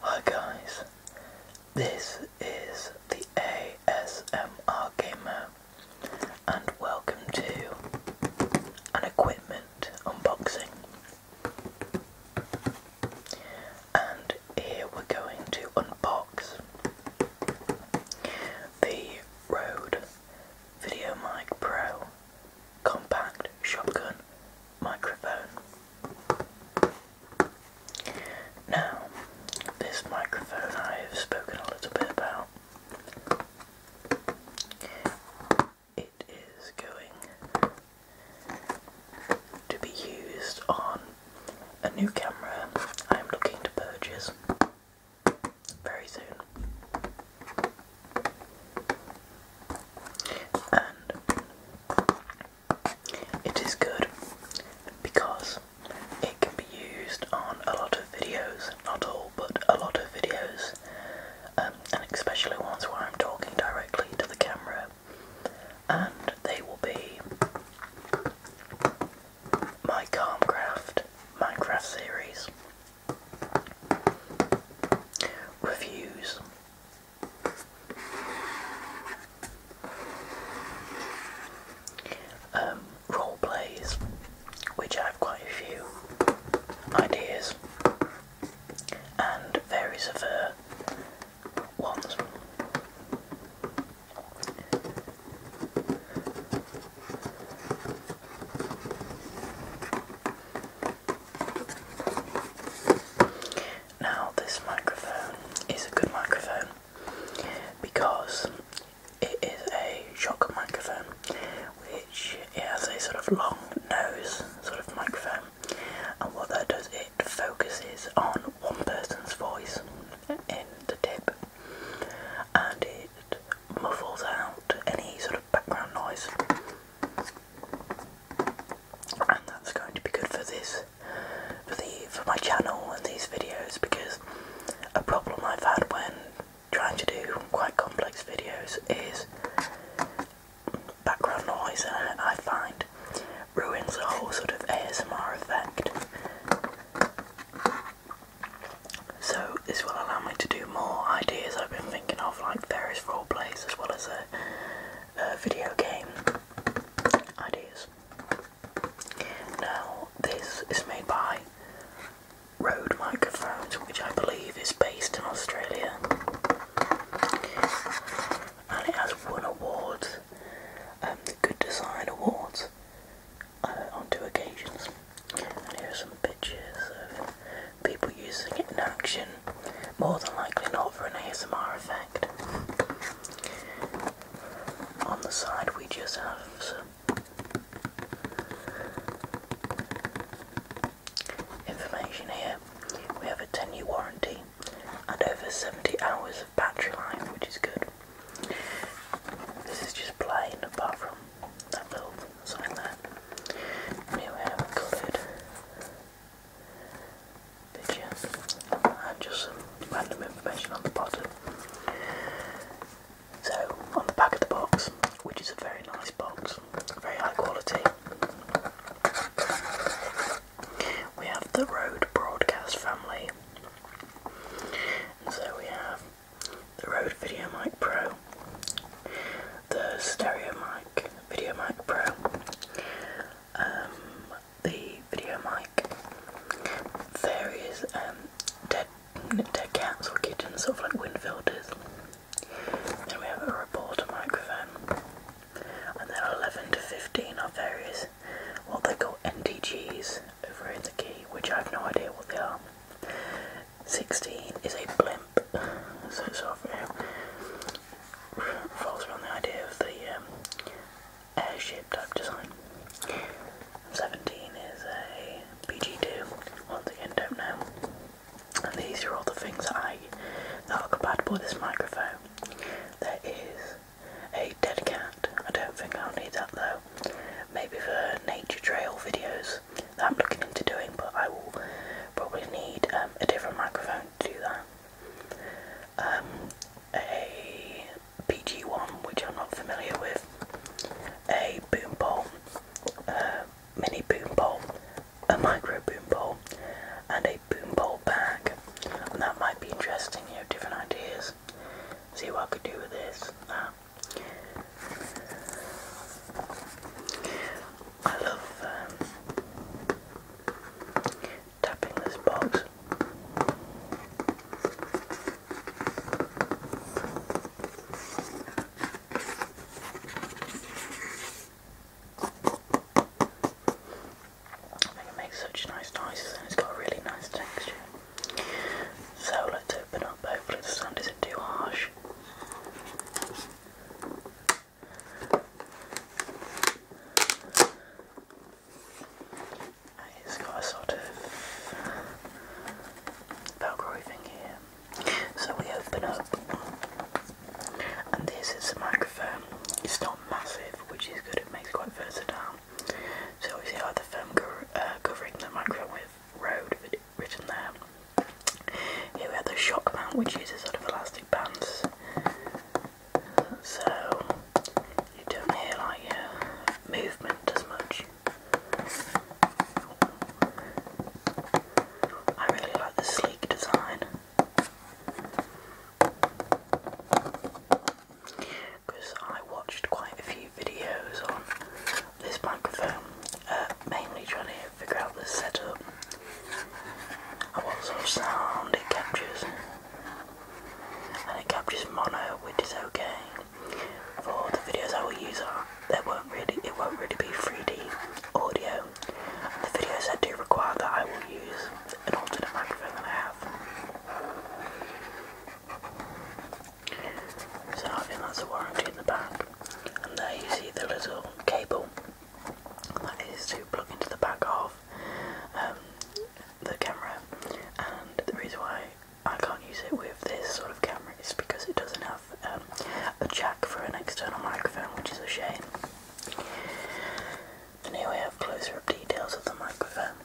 Hi guys, this is the ASMR Gamer and welcome to an equipment unboxing. And here we're going to unbox the Rode VideoMic Pro Compact Shotgun Microphone. Now, this microphone I have spoken a little bit about it is going to be used on a new camera I'm looking to purchase very soon. And it is good because it can be used on a lot of videos, not all, but a lot of videos, um, and especially ones where I'm talking directly to the camera and they will be my Calmcraft Minecraft series reviews. Um, role plays, which I have quite a few ideas and various other ones. Now, this microphone is a good microphone because it is a shock microphone, which has a sort of long nose sort of microphone, and what that does it focuses on one person's voice in the tip and it muffles out any sort of background noise and that's going to be good for this for the for my channel and these videos because a problem I've had when trying to do quite complex videos is background noise and I find ruins the whole sort of ASMR effect. So this will allow me to do more ideas I've been thinking of, like various role plays as well as a, a video game ideas. Now this is made by Rode Microphones, which I believe is based in Australia and it has won awards, um, the Good Design Awards, uh, on two occasions. And here are some pictures of people using it in action, more than likely not for an ASMR effect. On the side, we just have some Information here. We have a 10 year warranty and over 70 hours of battery life, which is good. This is just plain apart from that little sign there. here we have a coloured picture and just random information on the bottom. So on the back of the box, which is a very nice box, very high quality. We have the Rode broadcast family. And so we have the Rode VideoMic Pro, the Stereo StereoMic VideoMic Pro, um, the VideoMic, various um, dead, dead cats or kittens, sort of like wind filters, then we have a reporter microphone. And then 11 to 15 are various, what they call NTGs over in the key, which I have no idea what they are. 16 is a blimp, so it sort of around the idea of the um, airship type design. 17 is a BG2, once again don't know. And these are all the things that are compatible with this microphone. There is a dead cat. I don't think I'll need that though. Maybe for nature trail videos I'm looking into doing, but I will probably need um, a different microphone to do that. Um, a PG1, which I'm not familiar with, a boom pole, uh, mini boom pole, a micro boom bowl and a boom bowl bag. And that might be interesting, you have different ideas. See what I could do with this, um, I love um, tapping this box. It makes such nice noises and it's got a really nice texture. So let's open up, hopefully the sound isn't too harsh. It's got a sort of Velcro thing here. So we open up, and this is the microphone. It's not massive, which is good, it makes it quite versatile. So we see how the foam uh, covering the microphone with road written there. Here we have the shock mount, which uses sort of elastic bands. So you don't hear like uh, movement as much. I really like the sleek design. Because I watched quite a few videos on this microphone, um, uh, mainly trying to figure out the setup and what sort sound it captures. And it captures mono, which is okay for the videos I will use there won't really it won't really be 3D audio. And the videos I do require that I will use an alternate microphone that I have. So I think that's a warranty in the back. And there you see the little cable that is to plug into the back of um, the camera. And the reason why I can't use it with this sort of camera is because it doesn't have. Um, a jack for an external microphone, which is a shame. And here we have closer up details of the microphone.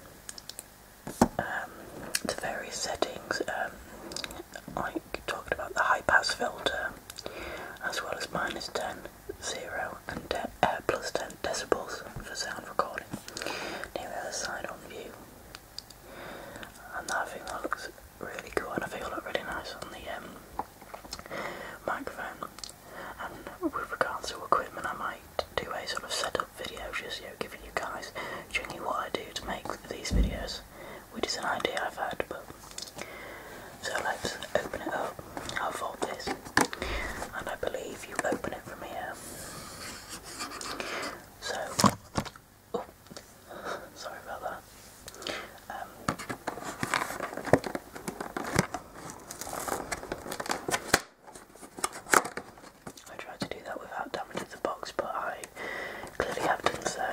Um, the various settings, um, like talking about the high pass filter, as well as minus 10, 0 and uh, 10 decibels for sound recording. Here we have a side on view, and I think that looks really cool and I feel look really nice on the um, microphone. And with regards to equipment, I might do a sort of setup video, just you know, giving you guys generally what I do to make these videos, which is an idea I've had. But so let's open it up. I'll fold this, and I believe you open it from here. So Oh, sorry about that. Um. I tried to do that without damaging the box, but I clearly have done so.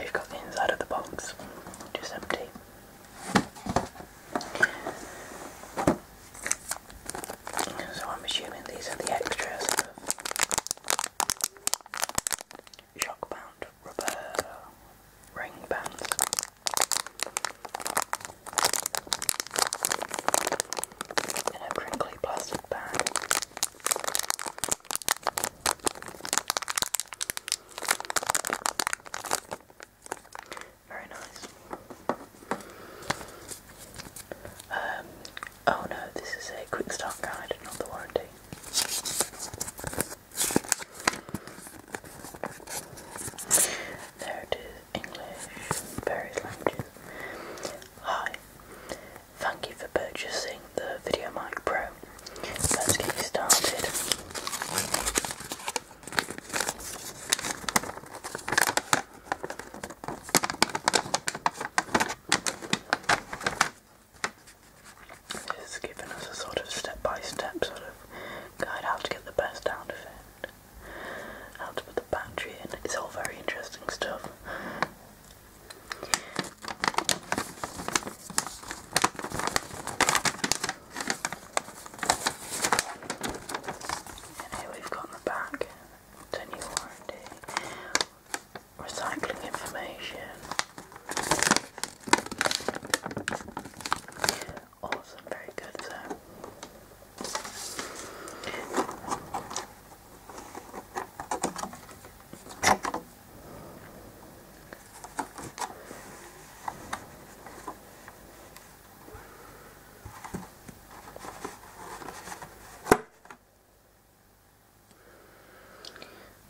You've got the inside of the box, just empty. So I'm assuming these are the extras shock bound rubber ring bands. In a crinkly plastic bag. Very nice. Um, oh no, this is a quick start guide, not the warranty. There it is, English, various languages. Hi, thank you for purchasing the VideoMic Pro. Let's get started. It's given us a sort of step by step sort of guide how to get the best out of it, how to put the battery in. It's all very interesting stuff. And here we've got the back, 10 year warranty, recycling information, awesome, very good though.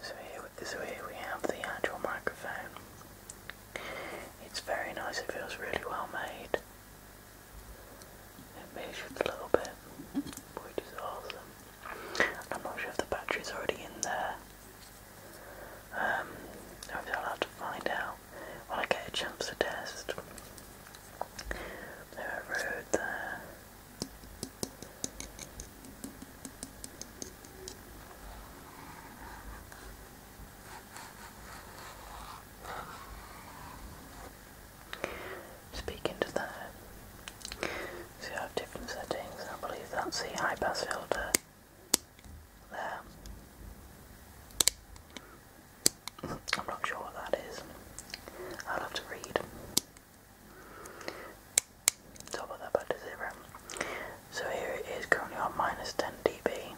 So here, so here we have the actual microphone. It's very nice, it feels really well made. It measures a little bit, which is awesome. I'm not sure if the battery's already in there. Um, I'll be to find out when I get a chance to test. There a road there. Speaking that, so you have different settings. I believe that's the high pass filter there. I'm not sure what that is. I'll have to read. Top of that back zero. So here it is currently on minus 10 dB.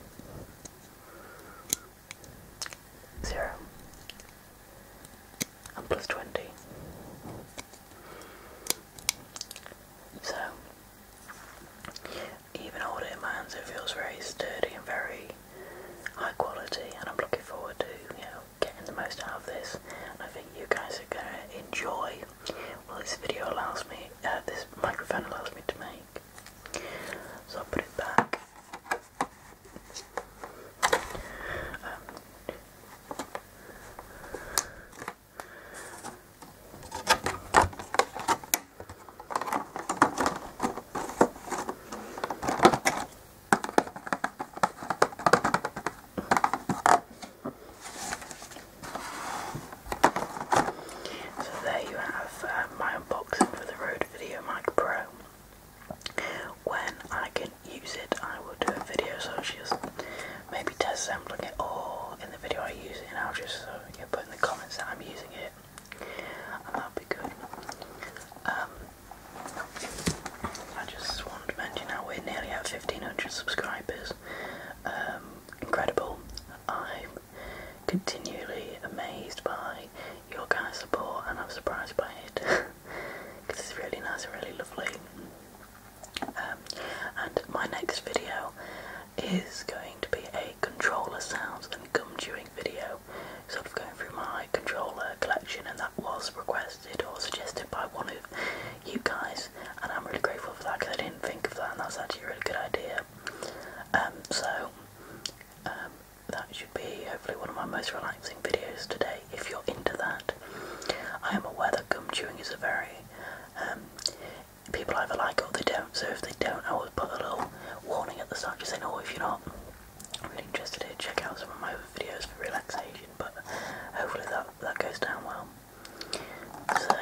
Zero. And plus 20. So even older in my hands, it feels very sturdy and very high quality, and I'm looking forward to you know getting the most out of this. And I think you guys are gonna enjoy. Well, this video allows me, uh, this microphone allows me to make. So I'll put it back. Um, so there you have uh, my unboxing for the Rode Video Mic Pro. When I can use it, I will do a video, so she will just maybe test sampling it all in the video I use it, and I'll just uh, you put in the comments that I'm using it, and that'll be good. Um, I just wanted to mention that we're nearly at 1500 subscribers. Um, incredible. I'm continually amazed by your kind of support, and I'm surprised by it it's really nice and really lovely. Um, and my next video is going to be a controller sounds and gum chewing video, sort of going through my controller collection, and that was requested or suggested by one of you guys, and I'm really grateful for that because I didn't think of that, and that's actually a really good idea. Um, so um, that should be hopefully one of my most relaxing videos today. If you're into that, I am aware that gum chewing is a very um, people either like it or they don't. So if they don't, I always put a little warning at the start just saying, oh, if you're not really interested in check out some of my other videos for relaxation. But hopefully that, that goes down well. So,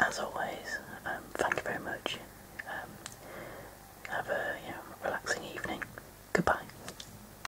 as always, um, thank you very much. Um, have a relaxing evening. Goodbye.